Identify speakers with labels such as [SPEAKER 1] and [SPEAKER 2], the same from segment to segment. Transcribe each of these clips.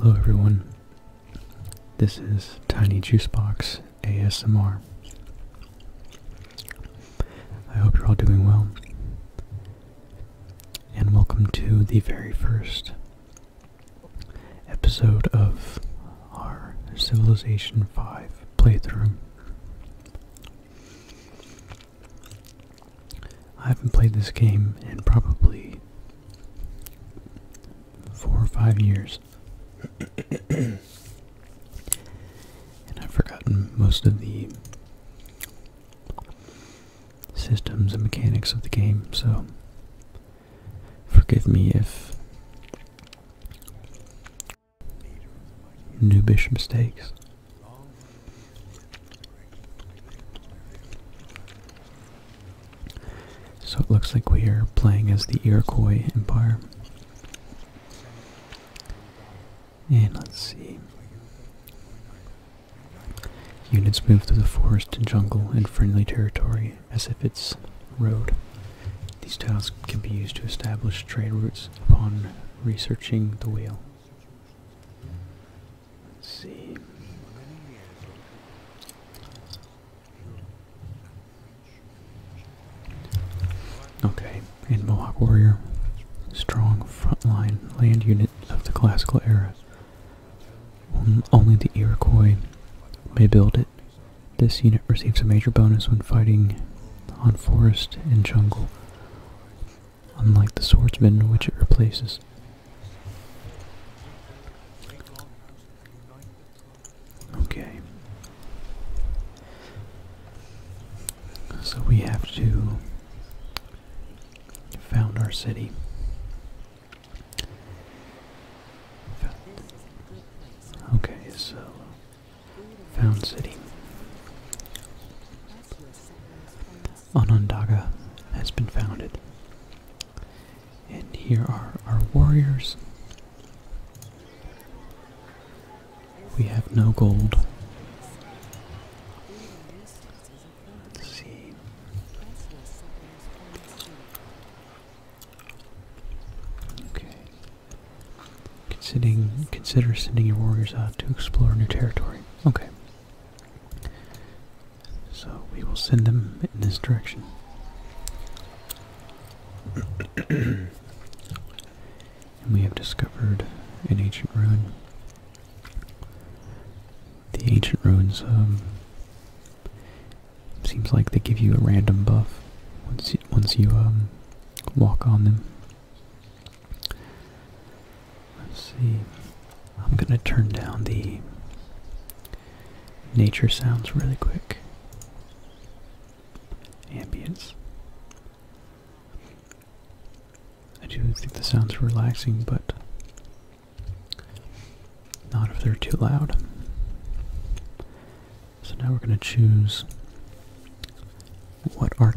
[SPEAKER 1] Hello everyone, this is Tiny Juicebox ASMR. I hope you're all doing well, and welcome to the very first episode of our Civilization 5 playthrough. I haven't played this game in probably four or five years. and I've forgotten most of the systems and mechanics of the game, so Forgive me if noobish mistakes. So it looks like we are playing as the Iroquois Empire. And let's see. Units move to the forest and jungle in friendly territory as if its road. These tiles can be used to establish trade routes upon researching the wheel. see. Okay, in Mohawk Warrior, strong frontline land unit of the classical era. Only the Iroquois may build it, this unit receives a major bonus when fighting on forest and jungle, unlike the swordsman which it replaces. Okay. So we have to found our city. Okay, so Found City. Onondaga has been founded. And here are our warriors. We have no gold. see. Okay. Considering, consider sending your warriors out to explore new territory. Okay. So we will send them in this direction. and we have discovered an ancient ruin. The ancient ruins of. Um, Seems like they give you a random buff once you, once you um, walk on them. Let's see. I'm gonna turn down the nature sounds really quick. Ambience. I do think the sounds are relaxing, but not if they're too loud. So now we're going to choose what our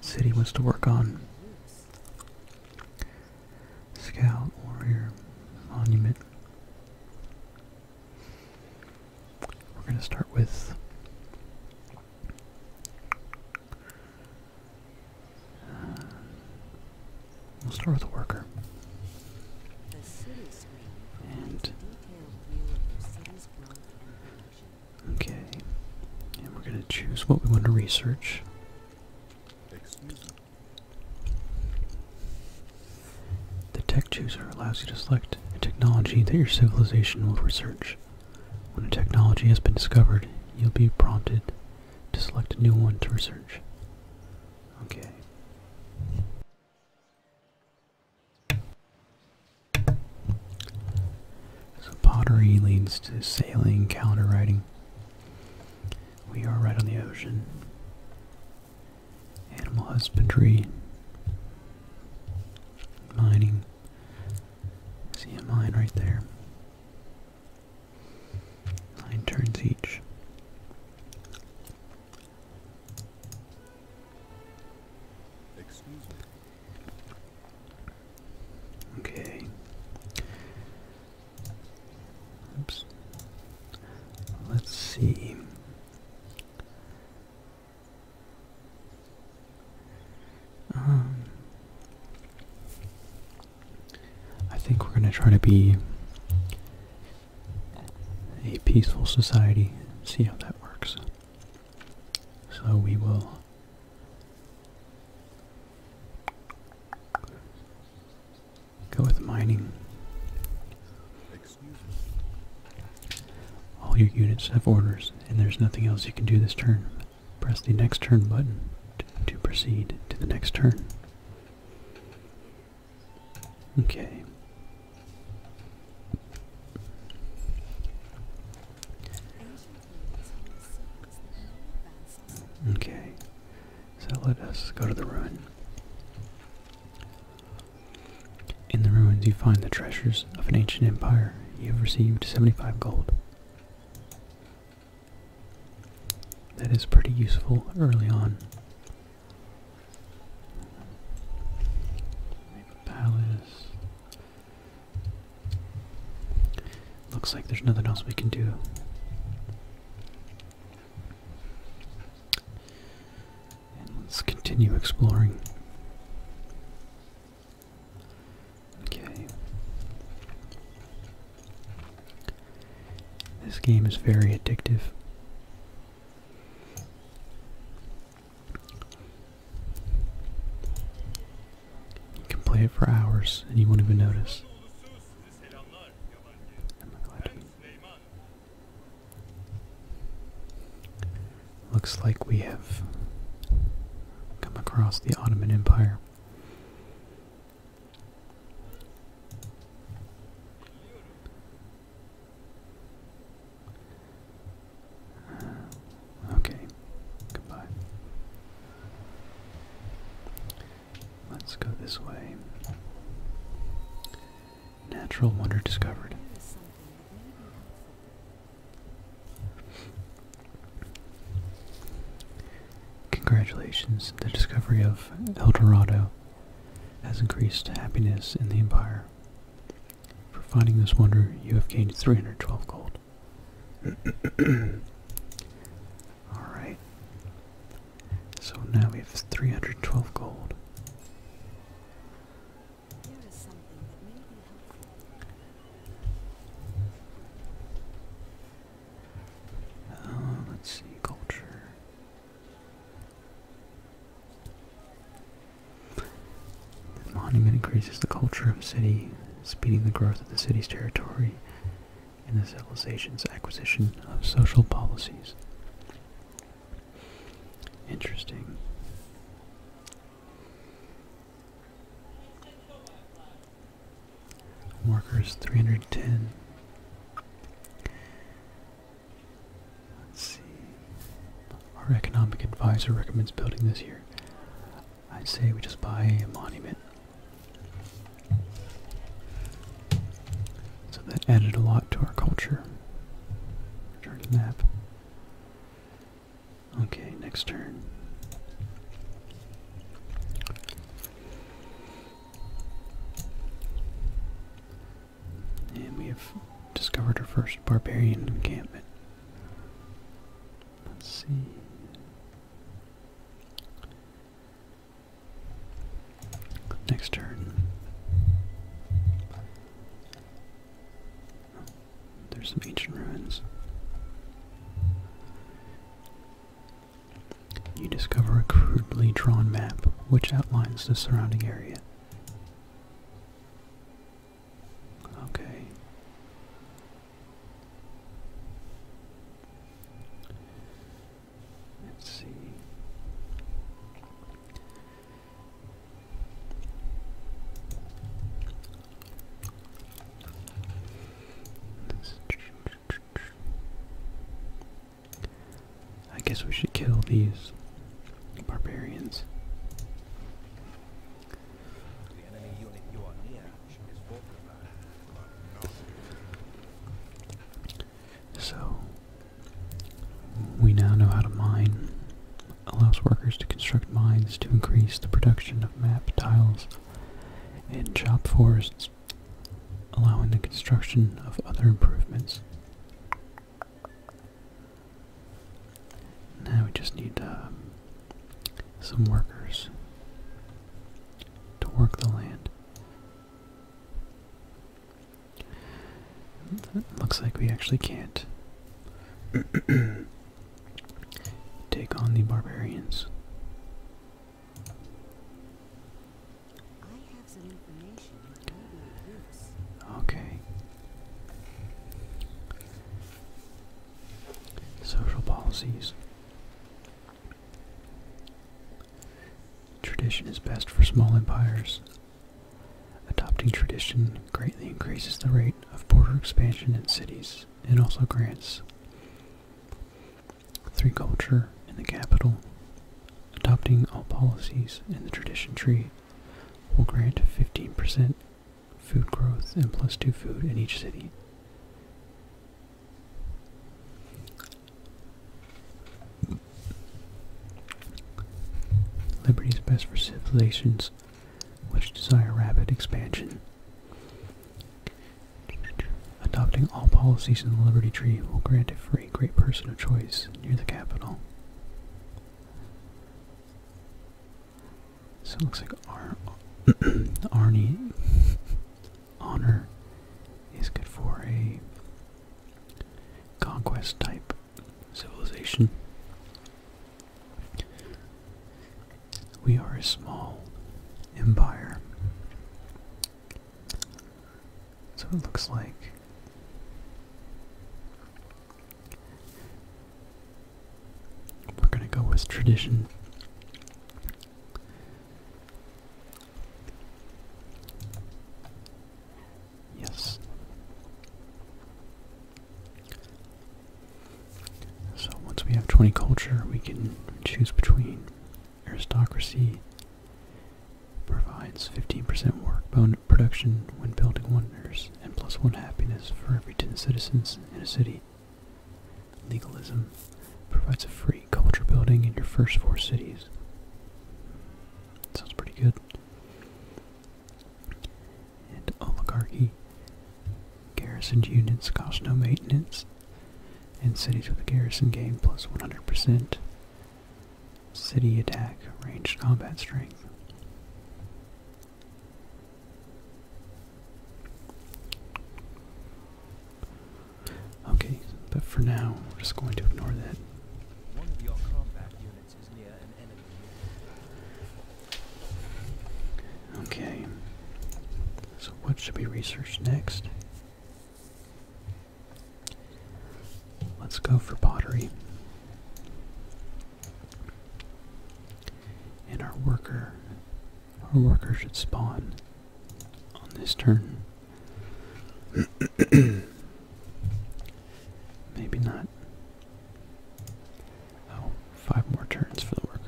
[SPEAKER 1] city wants to work on. Scout, warrior, monument. We're going to start with We'll start with a worker. The city screen Okay. And we're gonna choose what we want to research. Excuse me. The tech chooser allows you to select a technology that your civilization will research. When a technology has been discovered, you'll be prompted to select a new one to research. Okay. So pottery leads to sailing, calendar writing. We are right on the ocean. Animal husbandry, mining. See a mine right there. Nine turns each. Excuse me. Okay. Oops. Let's see. Um, I think we're gonna try to be a peaceful society see how that works. So we will go with mining. All your units have orders, and there's nothing else you can do this turn. Press the next turn button to proceed to the next turn. Okay. Okay. So let us go to the ruin. In the ruins you find the treasures of an ancient empire. You have received 75 gold. That is pretty useful early on. Palace. Looks like there's nothing else we can do. let's continue exploring. Okay. This game is very addictive. You can play it for hours and you won't even notice. Looks like we have come across the Ottoman Empire okay, goodbye. Let's go this way. Natural wonder discovered. Congratulations, the discovery of El Dorado has increased happiness in the empire. For finding this wonder, you have gained 312 gold. Alright. So now we have 312 gold. Uh, let's see, culture monument increases the culture of city, speeding the growth of the city's territory and the civilization's acquisition of social policies. Interesting. Workers 310. Let's see. Our economic advisor recommends building this year. I'd say we just buy a monument. So that added a lot to our culture. Return to map. Okay, next turn. And we have discovered our first barbarian encampment. Let's see. Next turn. There's some ancient ruins. You discover a crudely drawn map which outlines the surrounding area. Okay. Let's see. I guess we should kill these barbarians. so we now know how to mine. Allows workers to construct mines to increase the production of map tiles and chop forests allowing the construction of other improvements. Now we just need um, some workers to work the land. looks like we actually can't take on the barbarians. Okay. Social policies. Tradition is best for small empires. Adopting tradition greatly increases the rate of border expansion in cities and also grants Three culture in the capital, adopting all policies in the tradition tree, will grant 15% food growth and plus two food in each city. Liberty is best for civilizations which desire rapid expansion. Adopting all policies in the Liberty Tree will grant it for a great person of choice near the capital. So it looks like Ar Arnie Honor is good for a conquest type civilization. We are a small empire. So it looks like we're going to go with tradition. Yes. So once we have 20 culture, we can choose between aristocracy Provides 15% work bone production when building wonders, and plus one happiness for every 10 citizens in a city. Legalism provides a free culture building in your first four cities. Sounds pretty good. And oligarchy. Garrisoned units cost no maintenance, and cities with a garrison gain plus 100%. City attack, ranged combat strength. Okay, but for now, we're just going to ignore that. Okay. So what should we research next? Let's go for pottery. And our worker, our worker should spawn on this turn. Maybe not. Oh, five more turns for the worker.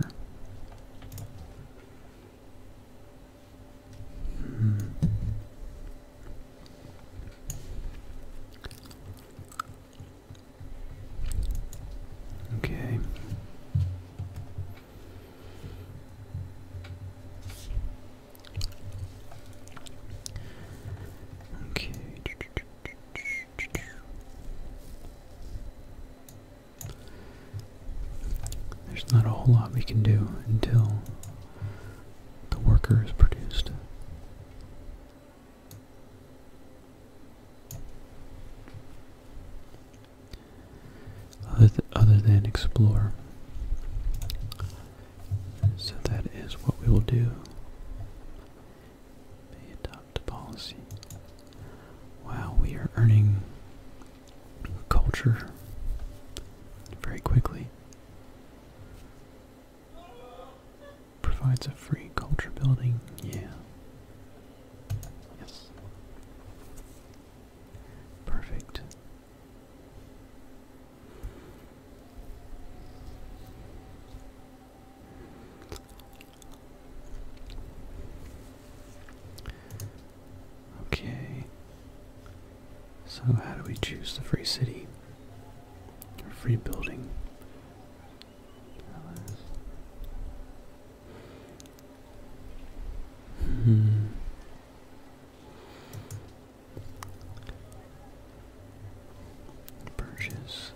[SPEAKER 1] Okay. Okay. There's not a whole lot we can do until the worker is produced. Other, than explore. So that is what we will do. adopt a policy. Wow, we are earning culture very quickly. Provides a free culture building, yeah. Yes. Perfect. Okay. So how do we choose the free city? Or free building? Hmm. Purchase.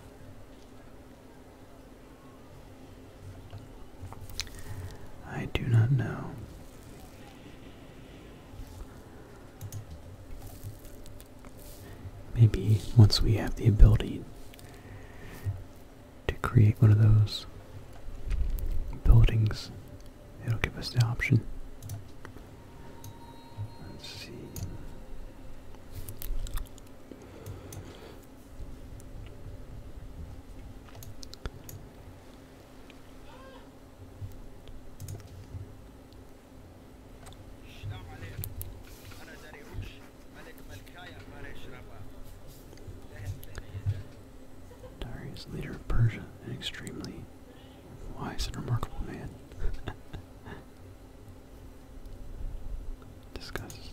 [SPEAKER 1] I do not know. Maybe once we have the ability to create one of those buildings, it'll give us the option. Let's see. Darius, leader of Persia, an extremely wise and remarkable man. Discuss.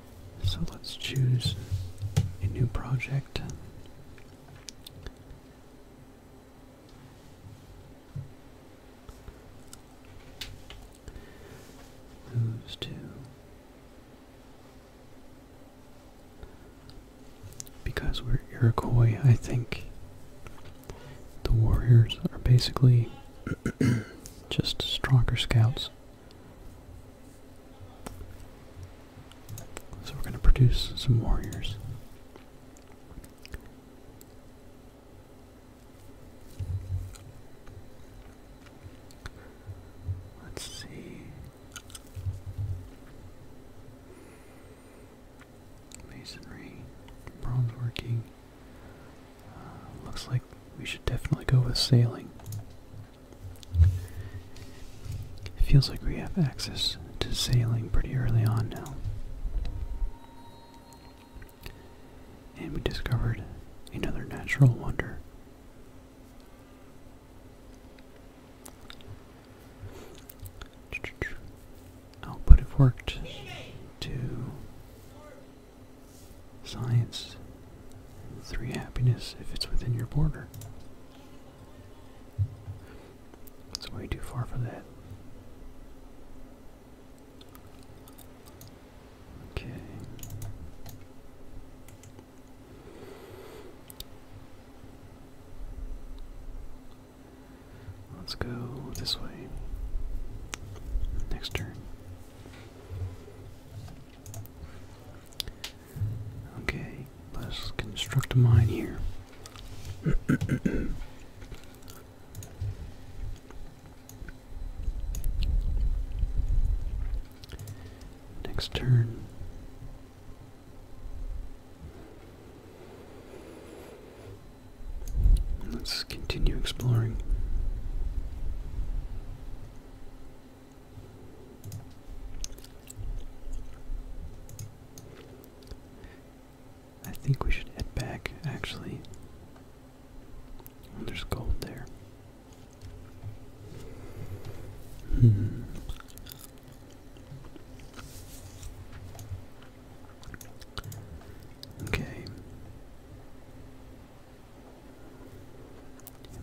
[SPEAKER 1] So let's choose a new project. Moves to because we're Iroquois, I think the warriors are basically just stronger scouts. So we're going to produce some warriors. Let's see. Masonry, bronze working. Uh, looks like we should definitely go with sailing. It feels like we have access to sailing pretty early on now. And we discovered another natural wonder. Output have worked to science, three happiness if it's within your border. That's way too far for that. Okay. Let's go this way. Next turn. Okay, let's construct a mine here. Next turn. Let's continue exploring. I think we should head back, actually. Oh, there's gold there. Hmm. Okay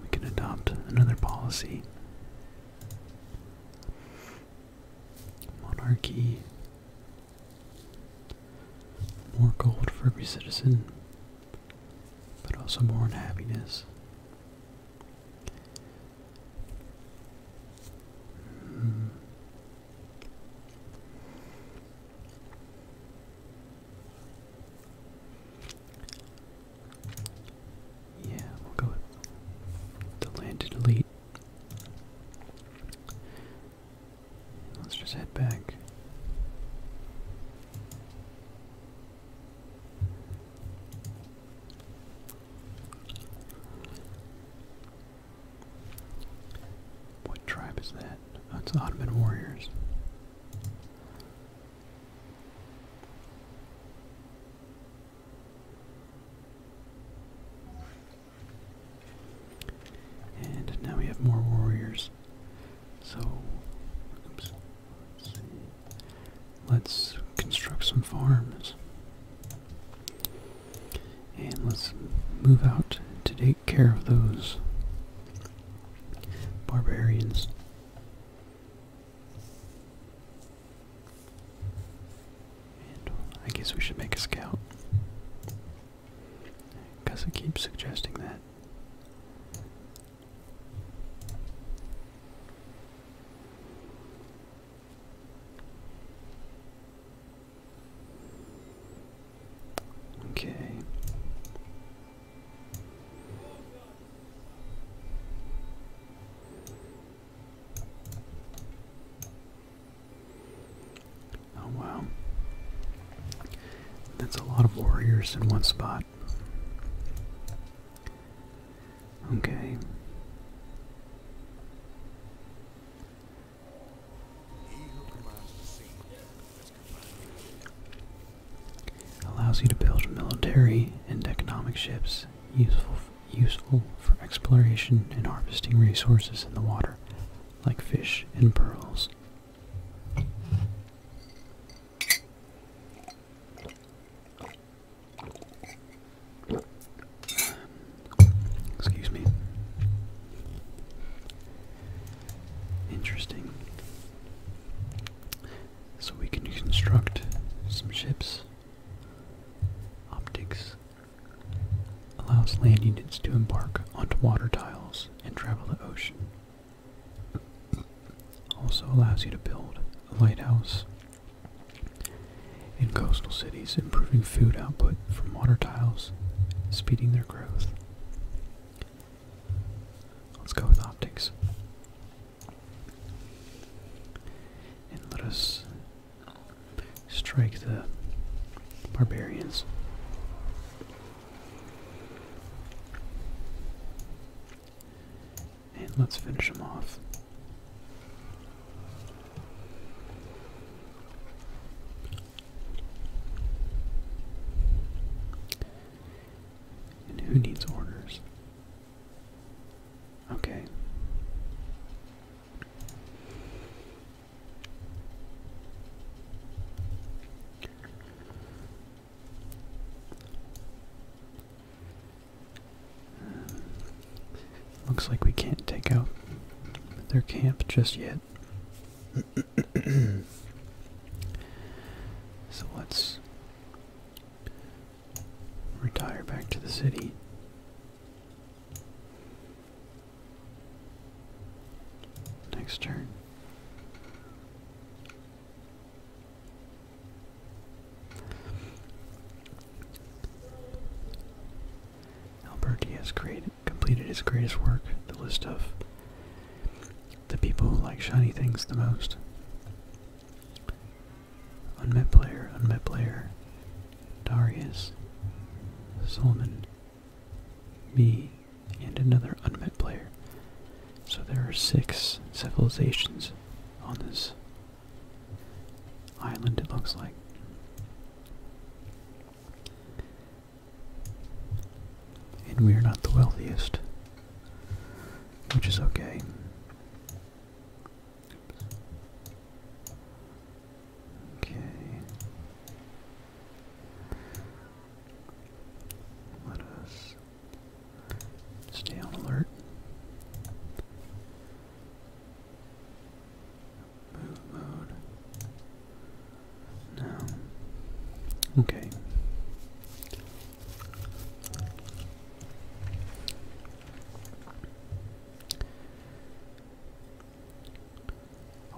[SPEAKER 1] we can adopt another policy. Monarchy. More gold for every citizen, but also more unhappiness. Yeah, we'll go the landed elite. Let's just head back. What tribe is that? That's oh, Ottoman warriors. And now we have more warriors. So, let's construct some farms. And let's move out to take care of those barbarians. Uh, I guess we should make a scout. Because I keep suggesting that. Okay. Oh wow. That's a lot of warriors in one spot. Okay. Allows you to build military and economic ships useful useful for exploration and harvesting resources in the water, like fish and pearls. Excuse me. Interesting. So we can construct some ships. Optics allows land units to embark onto water tiles and travel the ocean. Also allows you to build a lighthouse in coastal cities, improving food output from water tiles, speeding their growth. Let's go with optics. And let us strike the barbarians. And let's finish them off who needs orders? Okay. looks like we can't take out their camp just yet. so let's Retire back to the city. Next turn. Alberti has created, completed his greatest work, the list of the people who like shiny things the most. Unmet player, unmet player. Darius, Solomon, me, and another unmet player. So there are six civilizations on this island, it looks like. And we are not the wealthiest which is okay. Okay. Let us stay on alert. Move mode. No. Okay.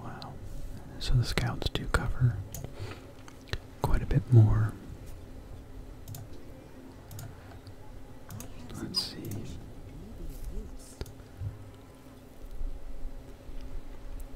[SPEAKER 1] Wow. So the scouts do cover quite a bit more. Let's see.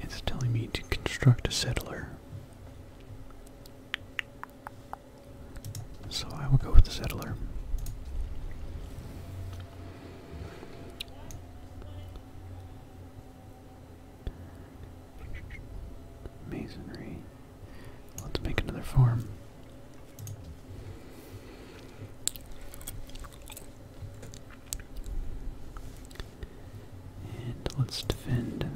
[SPEAKER 1] It's telling me to construct a settler. So I will go with the settler. Masonry. Let's make another farm. And let's defend.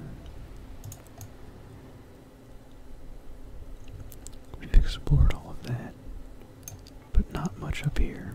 [SPEAKER 1] We've explored all of that, but not much up here.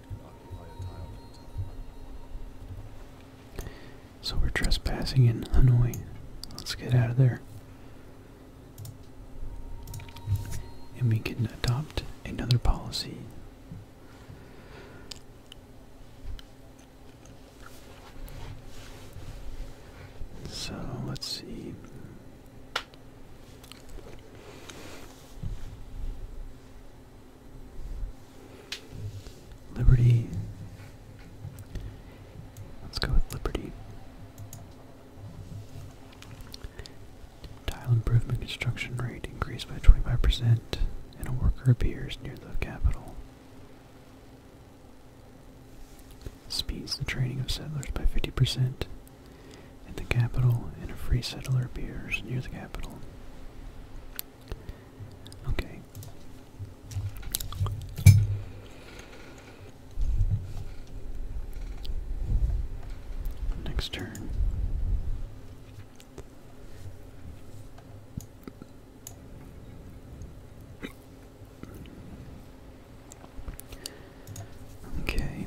[SPEAKER 1] So we're trespassing in Hanoi. Let's get out of there. And we can adopt another policy. So let's see. Liberty. Let's go with Liberty. Tile improvement construction rate increased by 25%, and a worker appears near the capital. Speeds the training of settlers by 50%, at the capital, and a free settler appears near the capital. Okay. Next turn. Okay.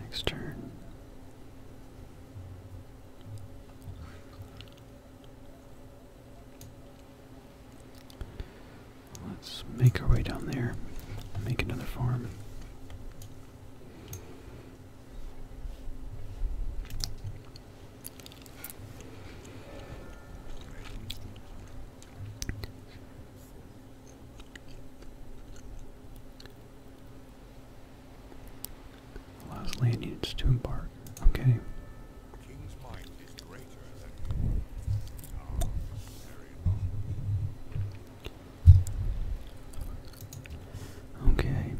[SPEAKER 1] Next turn. Let's make our way down there, make another farm. Allows Lanyards to embark. Okay. Um, okay.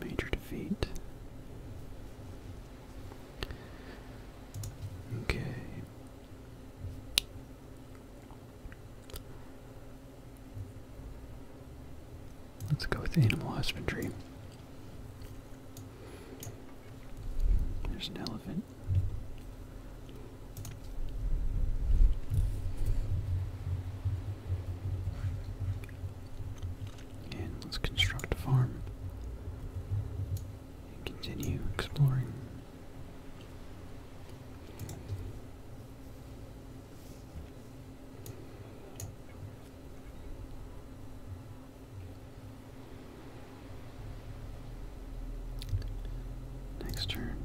[SPEAKER 1] Major defeat. Okay. Let's go with animal husbandry. There's an elephant. And let's construct a farm continue exploring. Next turn.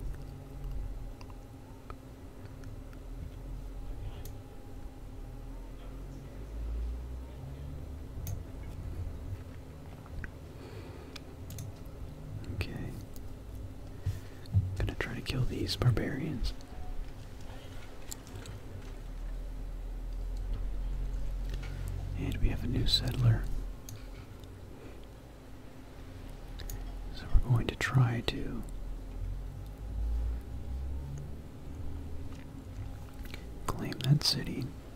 [SPEAKER 1] Okay. gonna try to kill these barbarians. And we have a new settler. So we're going to try to claim that city.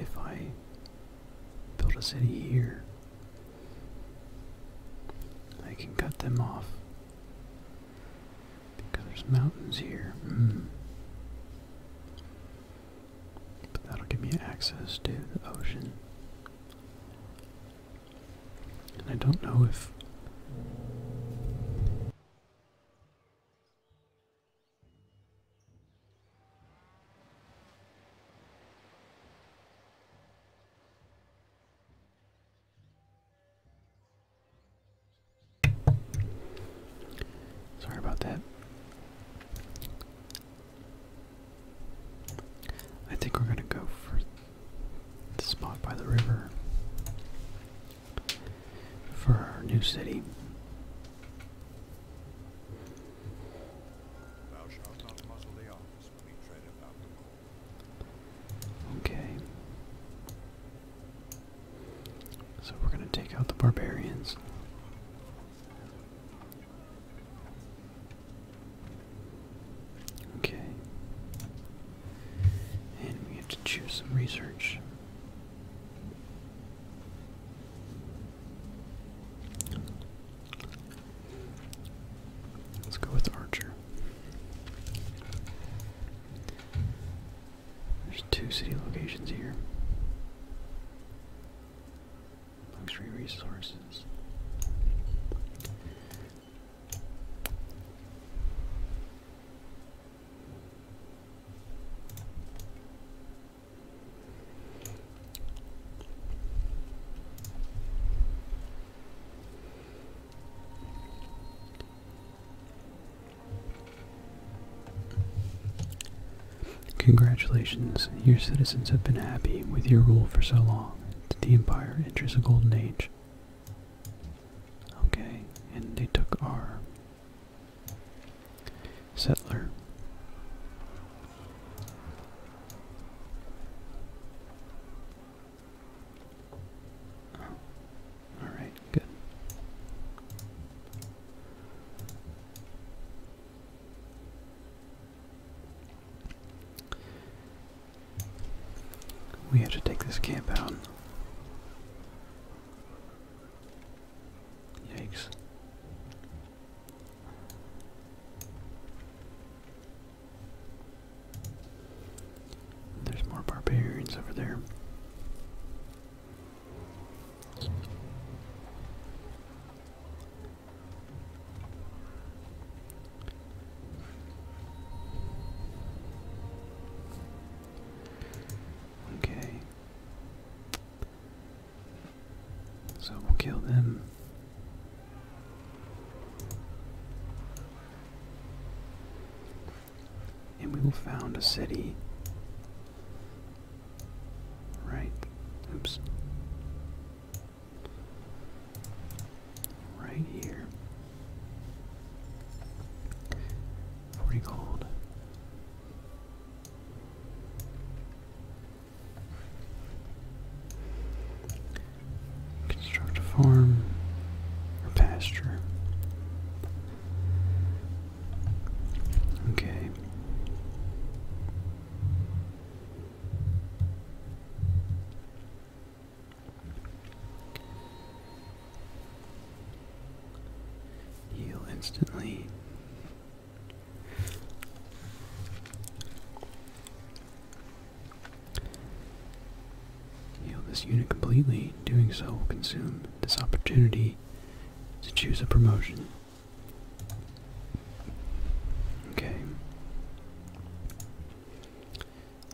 [SPEAKER 1] If I build a city here, I can cut them off because there's mountains here. Hmm. But that'll give me access to the ocean. And I don't know if Sorry about that. I think we're going to go for the spot by the river for our new city. Okay. So we're going to take out the barbarians. Okay. And we have to choose some research. Let's go with Archer. There's two city locations here. Luxury resources. Congratulations, your citizens have been happy with your rule for so long that the empire enters a golden age. Okay, and they took our Settler. Oh, all right, good. We have to take this camp out. Yikes. There's more barbarians over there. Okay. So we'll kill them. And we will found a city. Right. Oops. Right here. Forty gold. Construct a farm or pasture. Okay. Heal instantly. Heal this unit completely. Doing so will consume this opportunity to choose a promotion. Okay.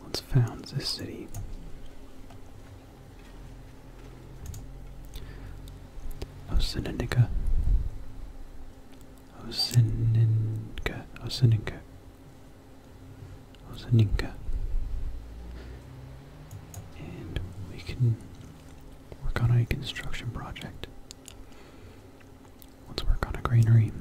[SPEAKER 1] Let's found this city. Osininka. Osininka. Osininka. Osininka. And we can work on a construction project. Let's work on a greenery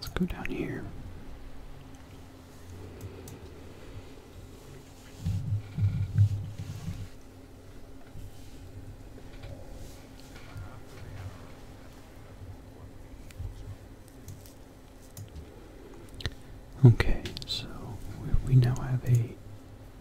[SPEAKER 1] let's go down here. Okay, so we now have a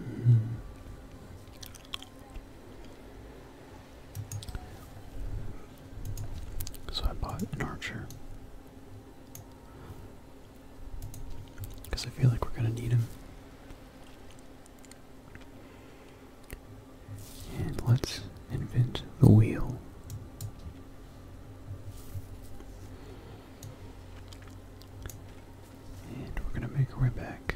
[SPEAKER 1] Mm. So I bought an archer. Because I feel like we're going to need him.
[SPEAKER 2] And let's invent the
[SPEAKER 1] wheel. And we're going to make our way back.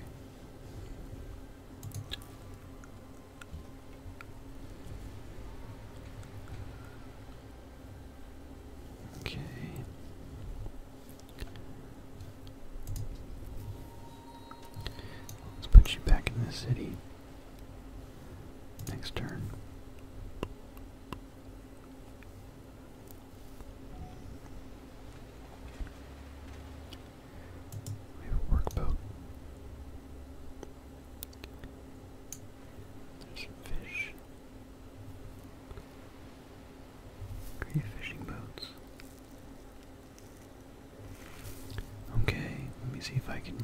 [SPEAKER 1] Okay. Let's put you back in the city next turn. We have a work There's some fish. Three fishing boats. Okay, let me see if I can.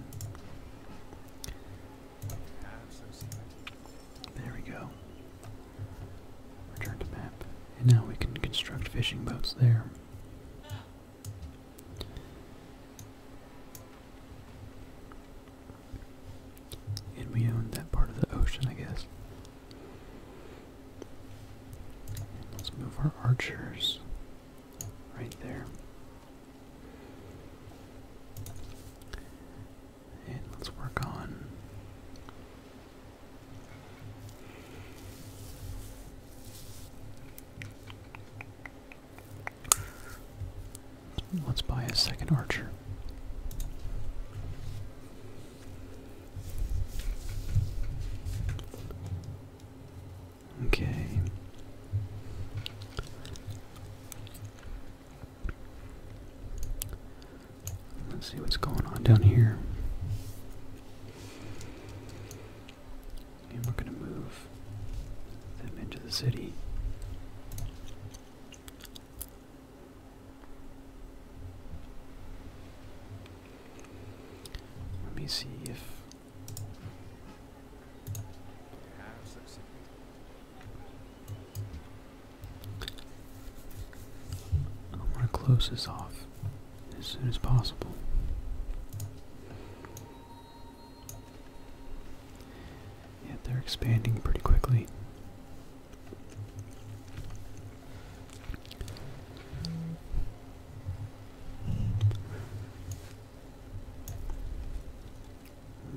[SPEAKER 1] There we go. Return to map. And now we can construct fishing boats there. And we own that part of the ocean, I guess. let's move our archers right there. And let's work on Let's buy a second archer. Okay. Let's see what's going on down here. And we're going to move them into the city. Let me see if I want to close this off as soon as possible. Yeah, they're expanding pretty quickly.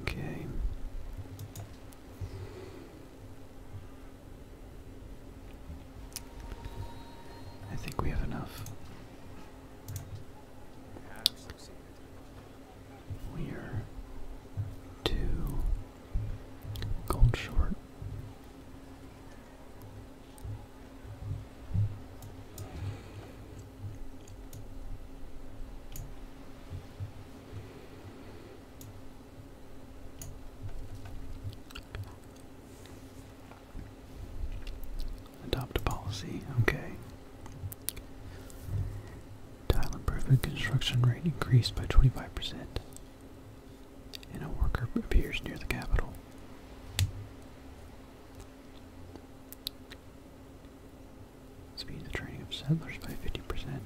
[SPEAKER 1] Okay. I think we have enough. We are two gold short. Adopt a policy, okay. Tile improvement construction rate increased by 25%. And a worker appears near the capital. Speed the training of settlers by 50%.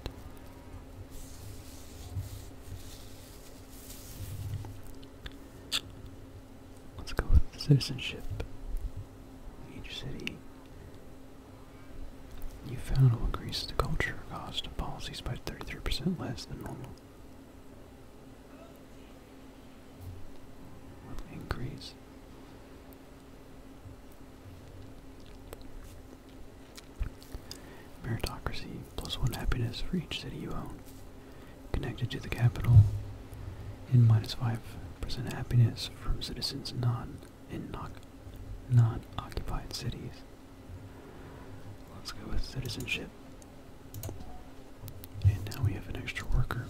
[SPEAKER 1] Let's go with citizenship. Each city you found will increase the culture cost of policies by 33% less than normal. increase. Meritocracy plus one happiness for each city you own. Connected to the capital, in minus five percent happiness from citizens not in not occupied cities. Let's go with citizenship. And now we have an extra worker.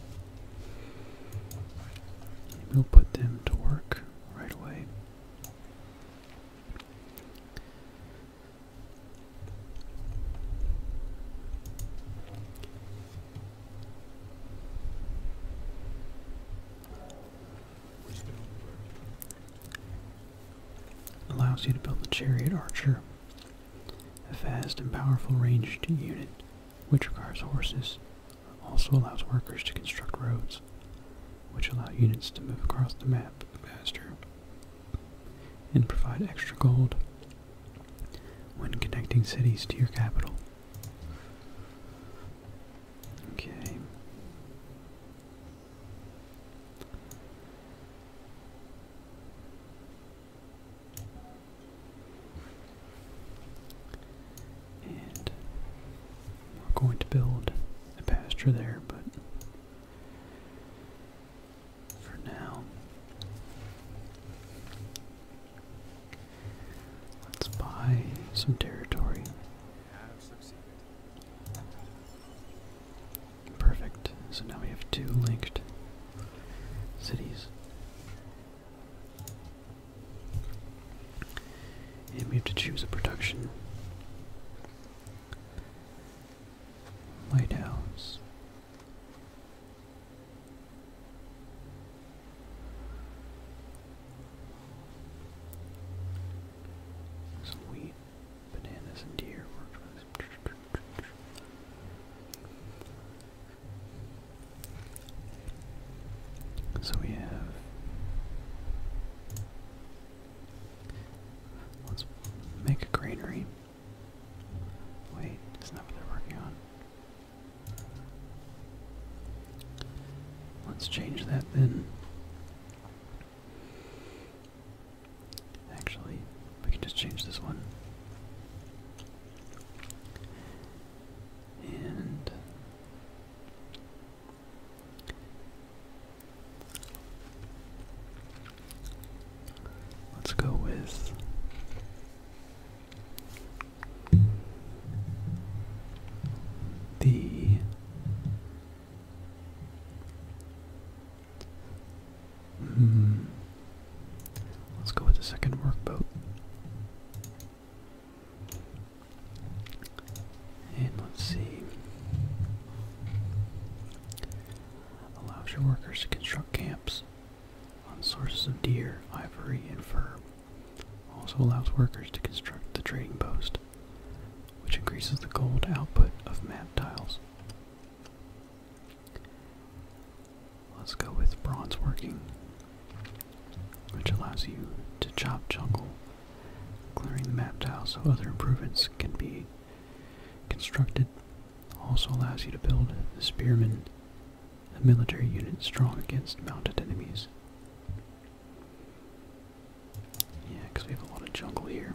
[SPEAKER 1] we'll put them to work right away. Allows you to build the Chariot Archer, a fast and powerful ranged unit which requires horses. Also allows workers to construct roads which allow units to move across the map faster and provide extra gold when connecting cities to your capital. Okay. And we're going to build a pasture there, but for now, let's buy some territory. Perfect. So now we have two linked cities. And we have to choose a production. Lighthouse. Some wheat, bananas, and deer So we have Let's make a greenery. Wait, isn't that what they're working on? Let's change that then. Actually, we can just change this one. And Let's go with the mm, Let's go with the second workboat. And let's see. Allows your workers to construct camps on sources of deer, ivory, and fur. Also allows workers to construct the trading post, which increases the gold output of map tiles. Let's go with bronze working, which allows you to chop jungle Clearing the map tile so other improvements can be constructed also allows you to build the spearmen, a military unit strong against mounted enemies. Yeah, because we have a lot of jungle here.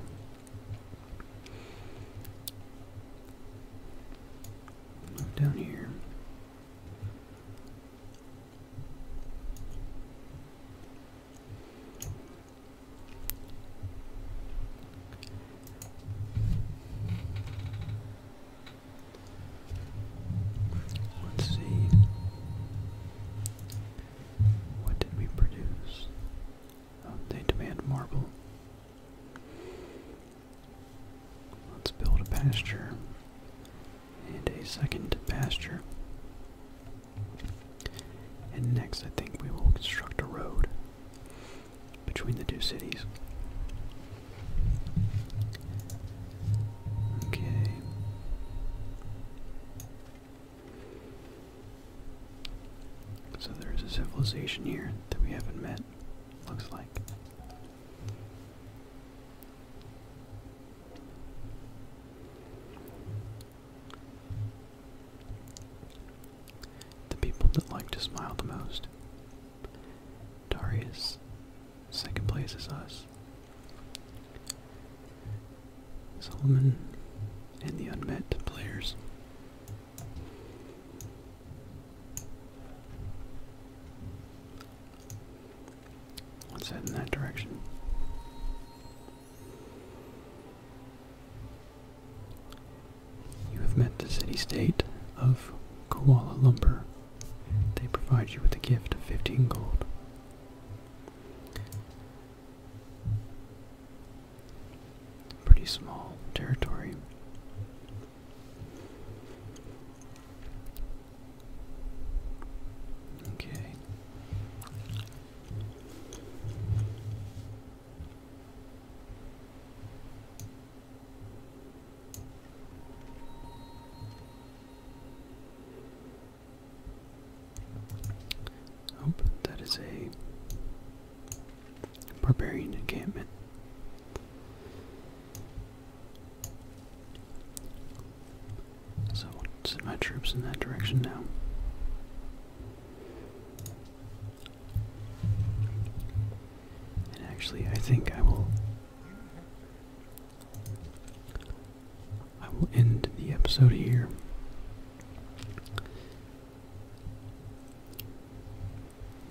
[SPEAKER 1] down here. Let's see. What did we produce? Oh, they demand marble. Let's build a pasture and a second pasture. And next, I think we will construct a road between the two cities. Okay. So there's a civilization here that we haven't met, looks like. The people that like to smile the most. Darius, second place is us. Solomon and the unmet players. Let's head in that direction. You have met the city-state of Koala Lumber. They provide you with a gift of 15 gold. Pretty small territory. Okay. Oh, that is a barbarian encampment. So I'll send my troops in that direction now. And actually, I think I will. I will end the episode here.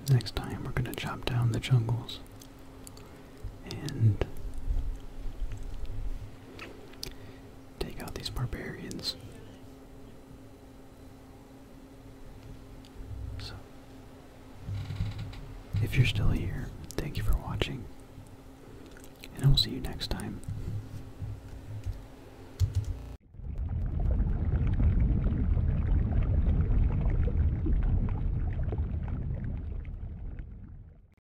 [SPEAKER 1] Next time, we're going to chop down the jungles and take out these barbarians. So, if you're still here, thank you for watching, and I will see you next time.